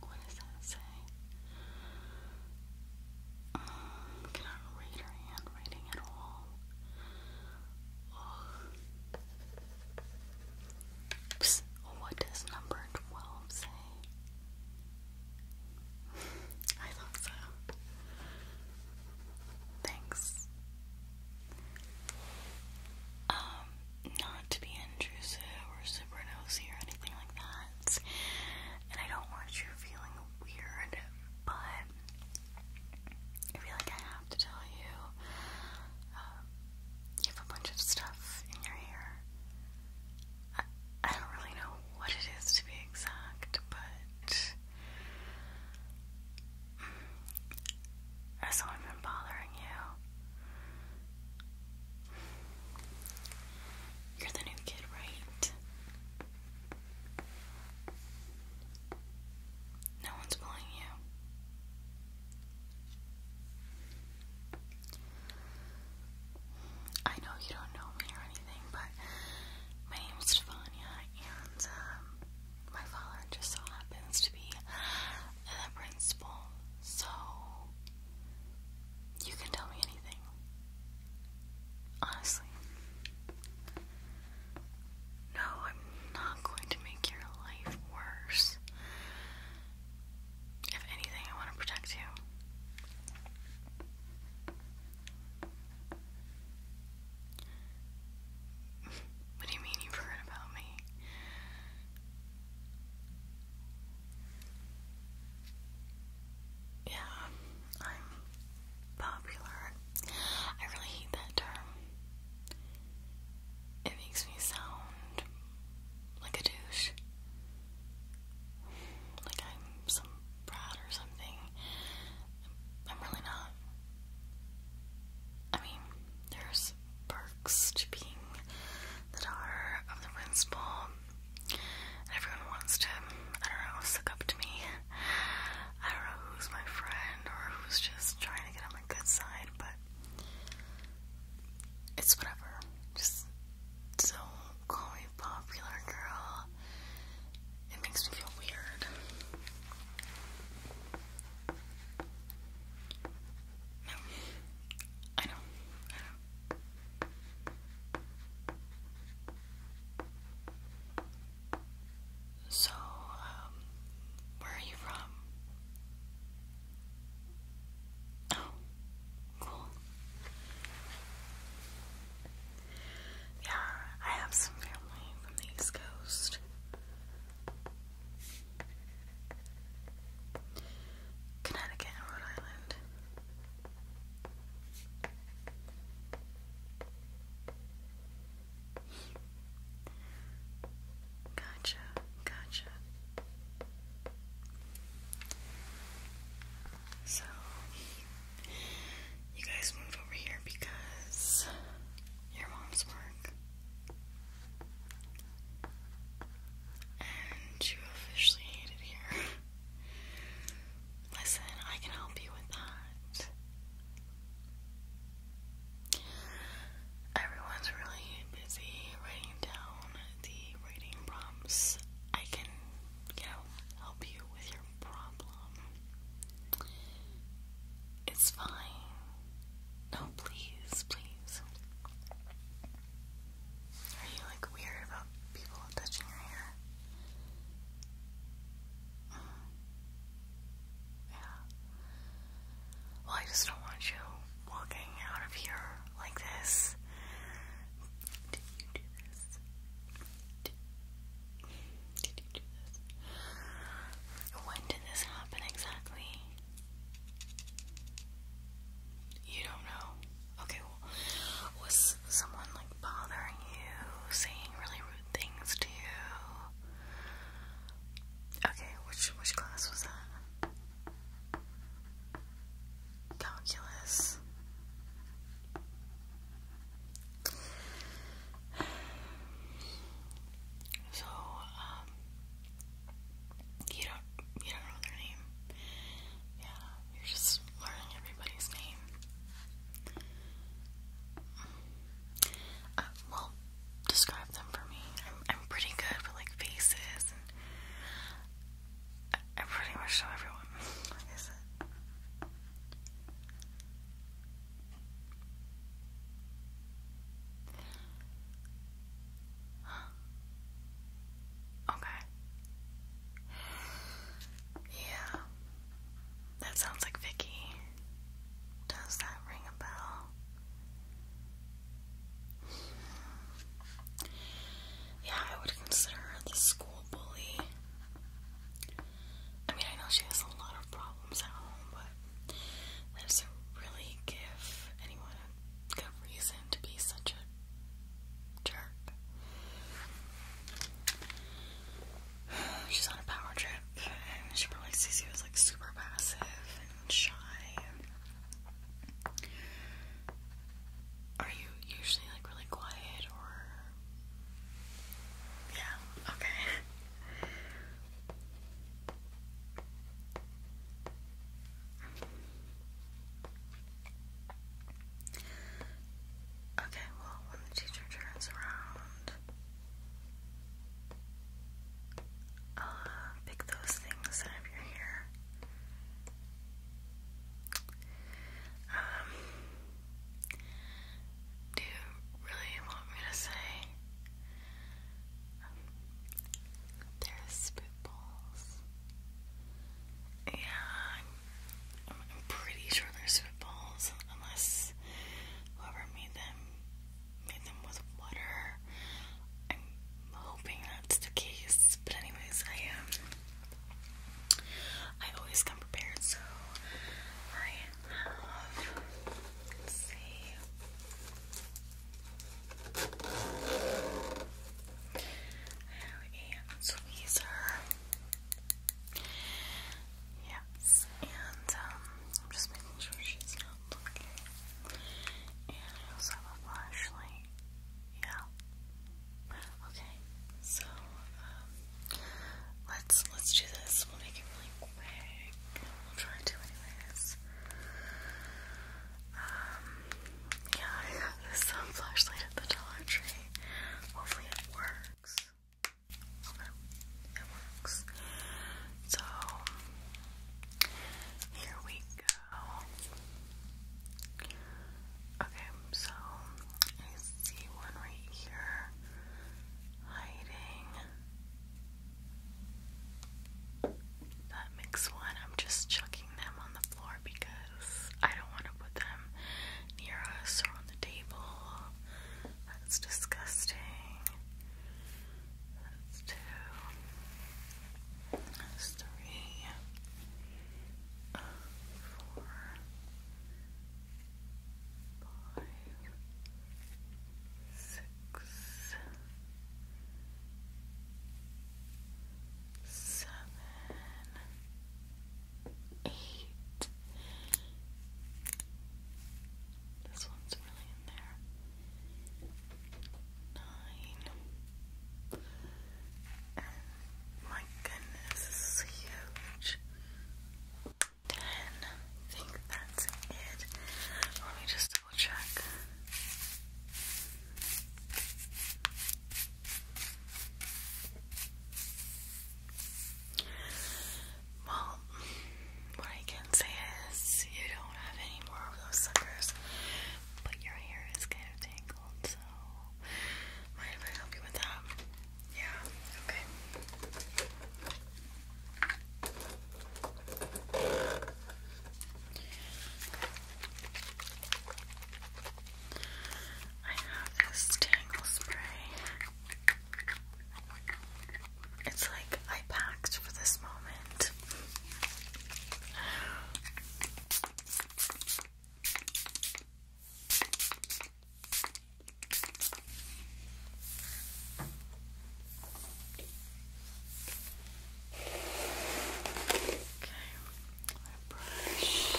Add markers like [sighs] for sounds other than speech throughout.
What does that say? Um, cannot read her handwriting at all. what does number 12 say? I thought so. Thanks. Um, not to be intrusive or super nosy or anything like that. And I don't want you feeling weird, but I feel like I have to tell you um, you have a bunch of stuff in your hair. I, don't really know what it is to be exact, but. Has been bothering you? You're the new kid, right? No one's bullying you. I know you don't know me or anything, but my name is Stefania, and um, my father just so happens to be the principal, so you can tell me anything. Honestly. No, I'm not going to make your life worse. If anything, I want to protect you. What do you mean you forgot about me? Yeah, I'm popular. I really hate that term. It makes me sound like a douche. Like I'm some brat or something. I'm really not. I mean, there's perks to being the daughter of the principal Everyone wants to, I don't know, suck up to me. I don't know who's my friend or who's just trying to get on my good side, but it's whatever. Just so call me popular, girl. It makes me feel weird. No. I know. So, um, where are you from? Oh, cool. Yeah, I have some family from the East Coast. Connecticut and Rhode Island. Gotcha, gotcha. So, you guys move over here because your mom's work. And you officially hate it here. [laughs] Listen, I can help you with that. Everyone's really busy writing down the writing prompts. I can, you know, help you with your problem. It's fine. No, please, please. Are you like weird about people touching your hair? Mm. Yeah. Well, I just don't want you walking out of here like this. Did you do this? did you do this? When did this happen exactly? You don't know. Okay, was someone like bothering you, saying really rude things to you? Okay, which which class was that? Calculus. So, um, you don't you don't know their name. Yeah, you're just learning everybody's name. Uh, well, describe them for me. I'm, I'm pretty good with like faces, I, pretty much know everyone. [laughs] Okay. Yeah. That sounds like Vicky. Does that ring a bell? Yeah, I would consider her the school bully. I mean, I know she has a lot of problems at home, but that doesn't really give anyone a good reason to be such a jerk. She's on a power trip, and she probably sees you as like super passive and shy. Are you usually like really quiet or? Yeah, okay. Okay, well, when the teacher turns around, I'll uh, pick those things out of your hair. Um, do you really want me to say um, there's spitballs? Yeah, I'm, I'm pretty sure there's spitballs, unless whoever made them made them with water. I'm hoping that's the case, but anyways, I Um, I always come prepared, so I have. Let's see. I have a tweezer. Yes, and um, I'm just making sure she's not looking. And I also have a flashlight. Yeah. Okay. So, um, let's let's do this. We'll make it really quick. We'll try to, anyways. Um, yeah, I got this um, flashlight at the Dollar Tree. Hopefully it works. Okay, it works. So, here we go. Okay, so I see one right here hiding. That makes one. I'm just chucking them on the floor because I don't want to put them near us or on the table. That's disgusting. That's two. That's three. four. Five. Six. Seven eight. This one's really in there. Nine. my goodness, this huge. Ten. I think that's it. Let me just double check. Well, what I can say is you don't have any more of those suckers, but your hair is kind of tangled, so might I help you with that? Yeah, okay. I have this tangle spray. It's like I packed for this moment. Okay, my brush.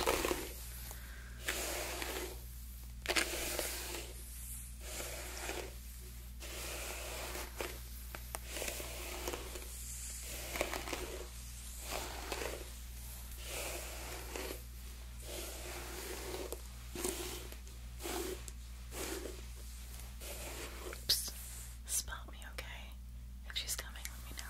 Spot me, okay? If she's coming, let me know.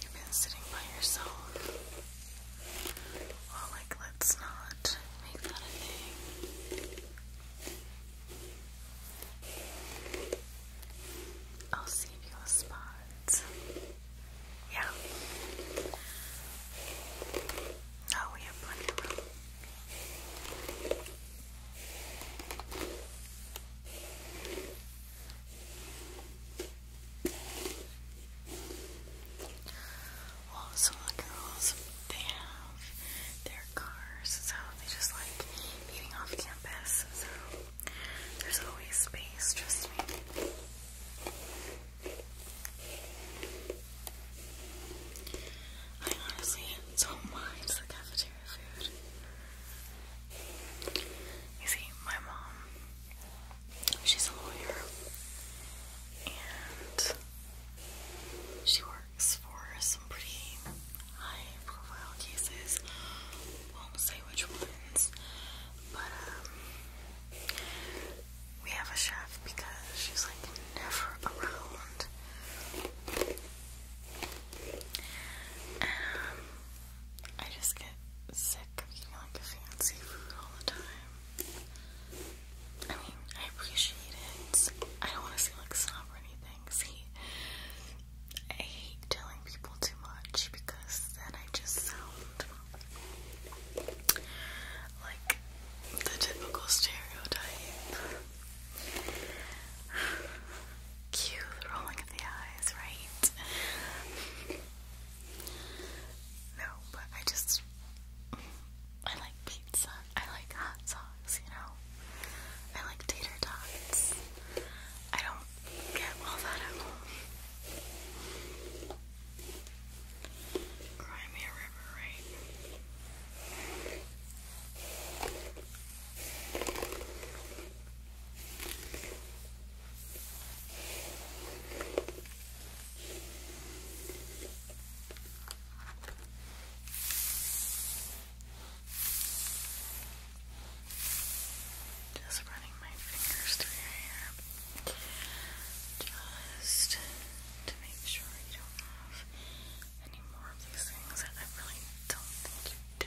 You've been sitting by yourself. Well, like, let's not make that a thing. I'll save you a spot. Yeah. No, we have plenty room. Also, the girls, they have their cars, so they just like meeting off campus, so there's always space, trust me. I honestly don't mind the cafeteria food. You see, my mom, she's a lawyer, and she works for some pretty high-profile cases. Won't say which ones, but um, we have a chef because she's like never around. Um, I just get so like fancy food all the time. I mean, I appreciate it. I don't want to say like snob or anything. See, I hate telling people too much because then I just sound like the typical stereotype. [sighs] [sighs] Cue the rolling of the eyes, right? no, but I just. I like pizza. I like hot sauce, you know? I like tater tots. I don't get all that at home. Crimea River, right? Just running my fingers through your hair just to make sure you don't have any more of these things that I really don't think you do.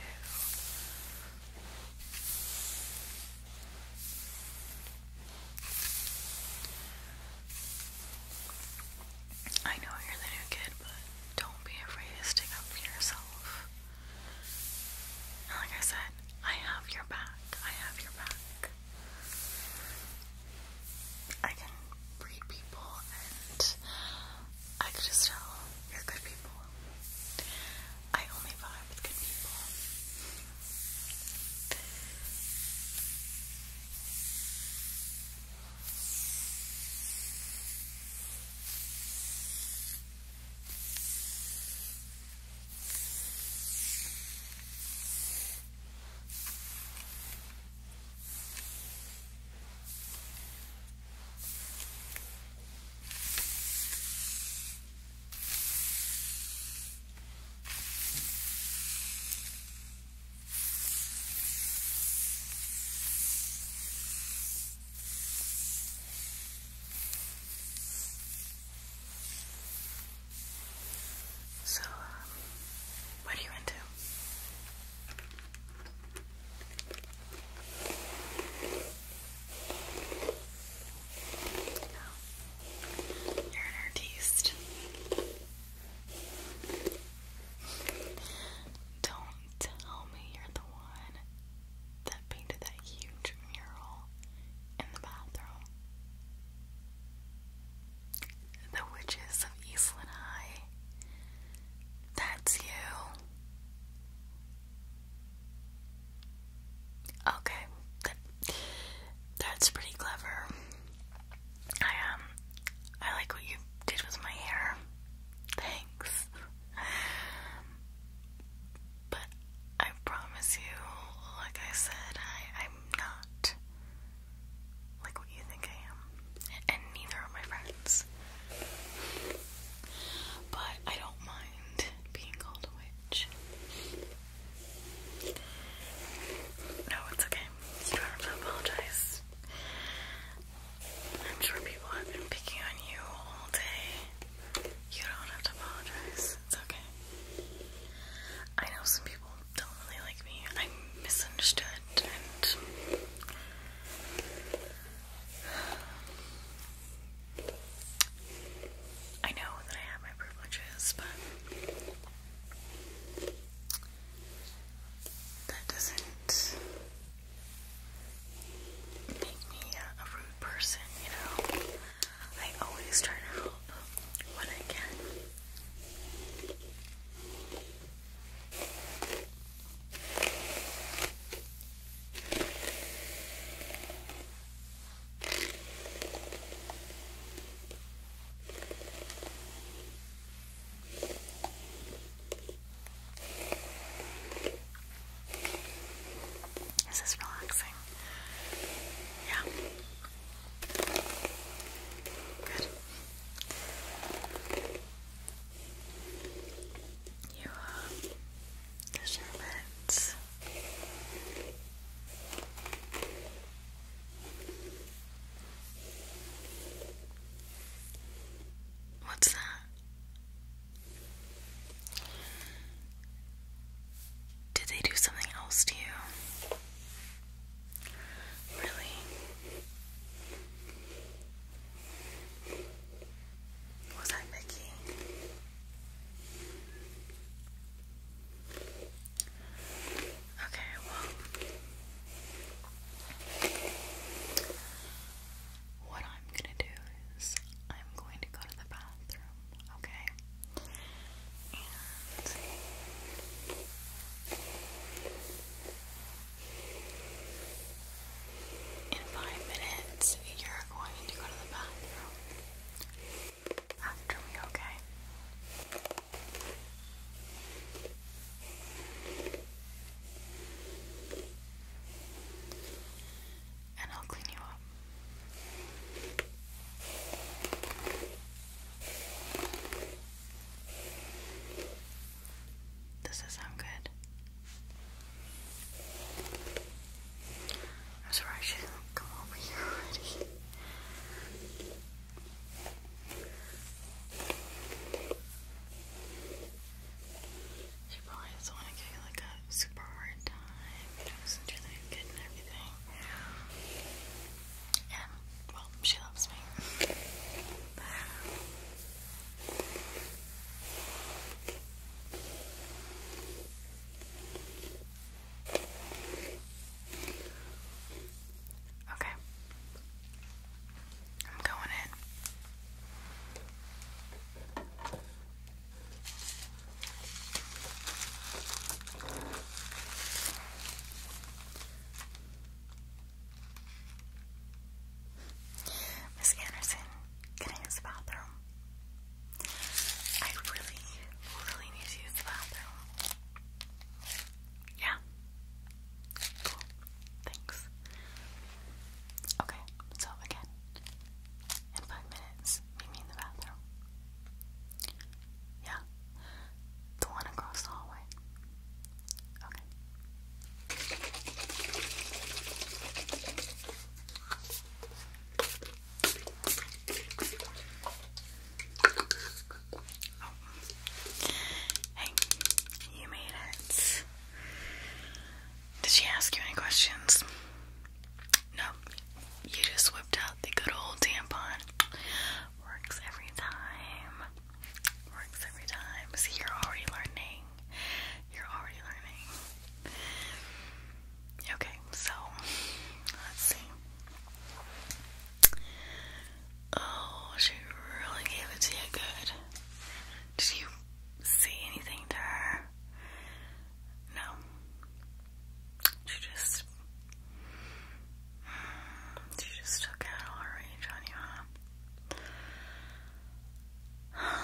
I know you're the new kid, but don't be afraid to stick up for yourself. like I said, I have your back. I have your back. I can read people and I could just tell you're good people. I only vibe with good people. So, uh, what are you into? You're an artiste. Don't tell me you're the one that painted that huge mural in the bathroom. The Witches of Eastland High. That's you. Okay, that's pretty clever. I um, I like what you did with my hair. Thanks. But I promise you, like I said, I I'm not like what you think I am, and neither are my friends. But I don't mind being called a witch. No, it's okay. You don't have to apologize. I'm sure people have been picking on you all day. You don't have to apologize. It's okay. I know some people don't really like me. i misunderstood I know that I have my privileges, but that doesn't make me a rude person, you know? I always try to help when I can. This relaxing. Yeah. Good. You uh, deserve it. What's that? Did they do something else to you? Really? Was that Mickey? Okay, well, what I'm gonna do is I'm going to go to the bathroom, okay? in five minutes, you're going to go to the bathroom after me, okay? And I'll clean you up. Does that sound good? I'm sorry, I shouldn't come over here She probably doesn't want to give you like a super hard time, you know, since you good and everything. And, well, she loves me. Okay. I'm going in. Miss Anderson, can I use the bathroom? I really, really need to use the bathroom. Yeah. Cool. Thanks. Okay, so again, in five minutes, meet me in the bathroom. Yeah. The one across the hallway. Okay. Oh. you made it. Did she ask you any questions? No, you just whipped out the good old tampon. Works every time. Works every time. See, you're already learning. You're already learning. Okay, so let's see. Oh, she really gave it to you good. Did you say anything to No. She just she just took out all her rage on you,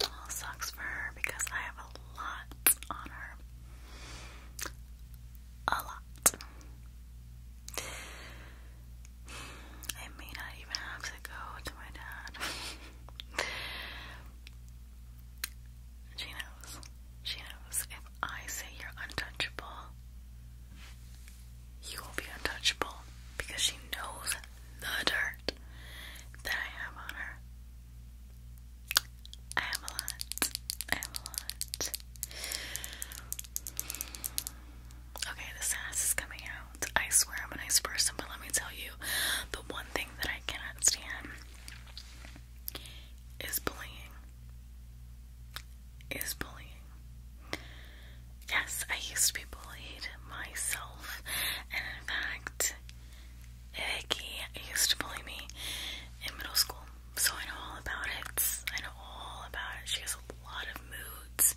well, sucks for her because I have a lot on her. A lot. I may not even have to go to my dad. [laughs] she knows. She knows. If I say you're untouchable, you will be untouchable because she knows the dirt that I have on her. I have a lot. I have a lot. Okay, the sass is coming out. I swear I'm a nice person, but let me tell you, the one thing that I cannot stand is bullying. Is bullying. Yes, I used to be bullied myself, and in fact, Vicky used to bully me in middle school, so I know all about it. I know all about it. She has a lot of moods,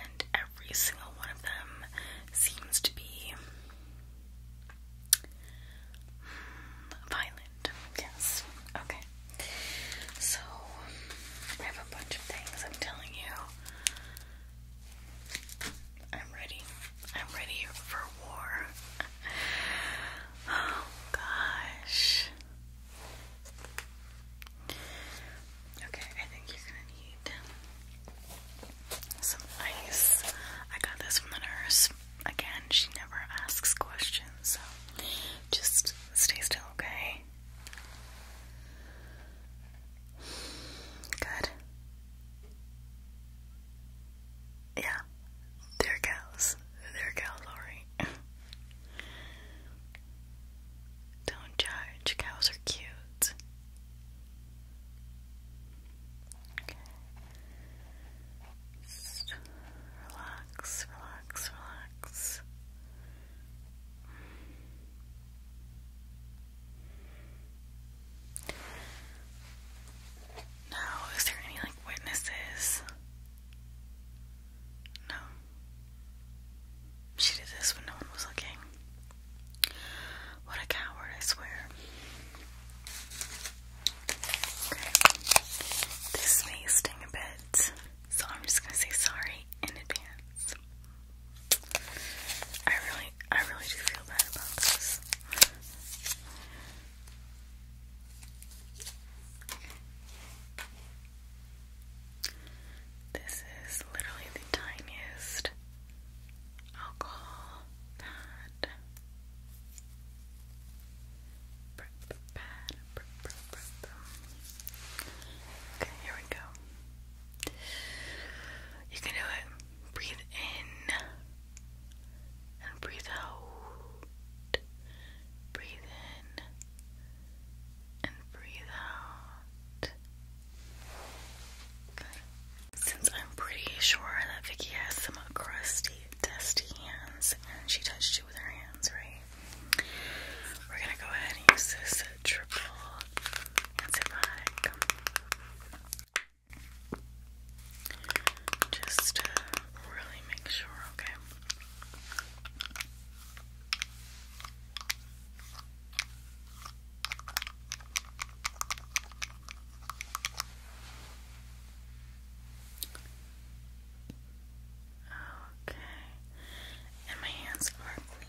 and every single one of them seems to be hmm, violent. Yes. Okay. So I have a bunch of things I'm telling you. I'm ready. I'm ready for war. Oh gosh. Okay, I think you're gonna need some ice. I got this from the nurse. Again, she never asks questions, so just stay still, okay? Good. Yeah, they're cows. They're Don't judge, cows are cute. Okay. Just relax, relax, relax. Now, is there any like witnesses? No. She did this when no one was looking. What a coward, I swear. This may sting a bit, so I'm just gonna say sorry in advance. I really I really do feel bad about this. This is literally the tiniest alcohol pad. Okay, here we go. You can do it. Breathe in and breathe out. Breathe in and breathe out. Since I'm pretty sure that Vicky has some crusty, dusty hands and she touched you with her hands, right? We're gonna go ahead and use this triple. Just to uh, really make sure, okay? Okay, and my hands are clean.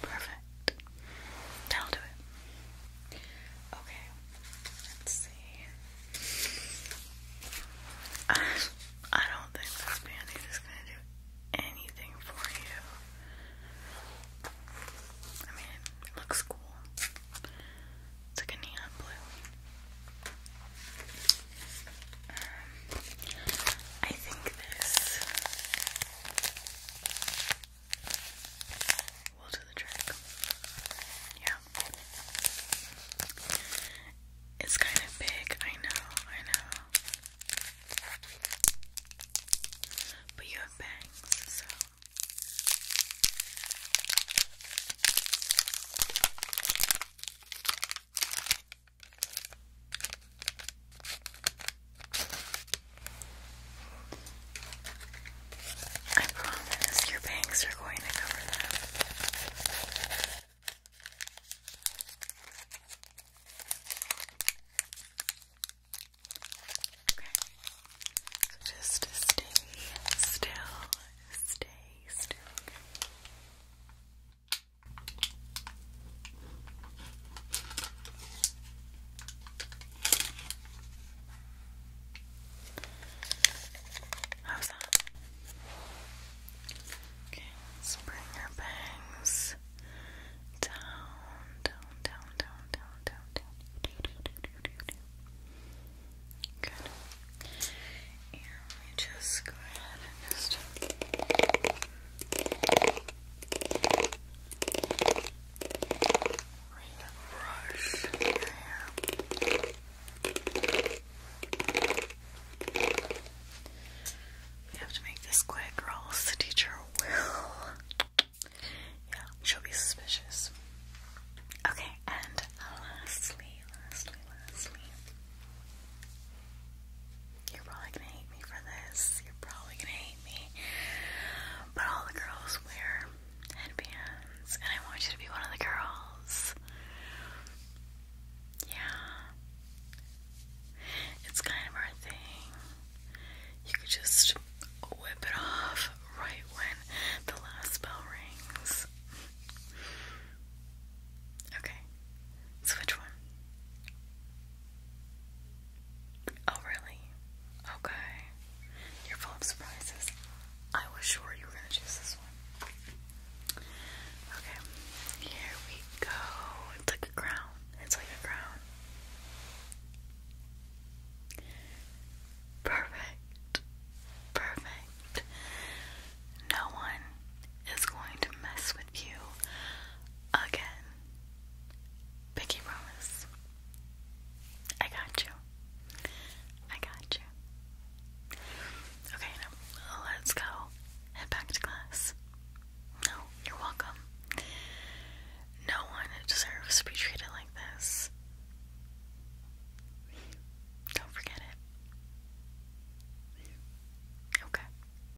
Perfect. That'll do it. Okay. Let's see. [laughs] I, don't think this band is gonna do anything for you. I mean, it looks cool. It's like a neon blue. Um, I think this will do the trick. Yeah. It's kind of big, I know, I know. But you have bangs, so. I promise your banks are going to cover that. So just stay still, stay still. How's that? Okay, bring your bangs down, down, down, down, down, down, down. Good. And we just go ahead and just. We have to make this quick or the teacher will. Yeah, she'll be suspicious. Okay, and lastly, lastly, lastly, you're probably gonna hate me for this. You're probably gonna hate me. But all the girls wear headbands, and I want you to be one of the girls. Yeah. It's kind of our thing. You could just whip it off right when the last bell rings. Okay. Switch one. Oh, really? Okay. You're full of surprises. I was sure you were going to choose this one. Okay, here we go. It's like a crown. It's like a crown. Perfect. Perfect. No one is going to mess with you again. Pinky promise. I got you. I got you. Okay, now let's go. Head back to class. No, you're welcome. No one deserves to be treated like this. Don't forget it. Okay.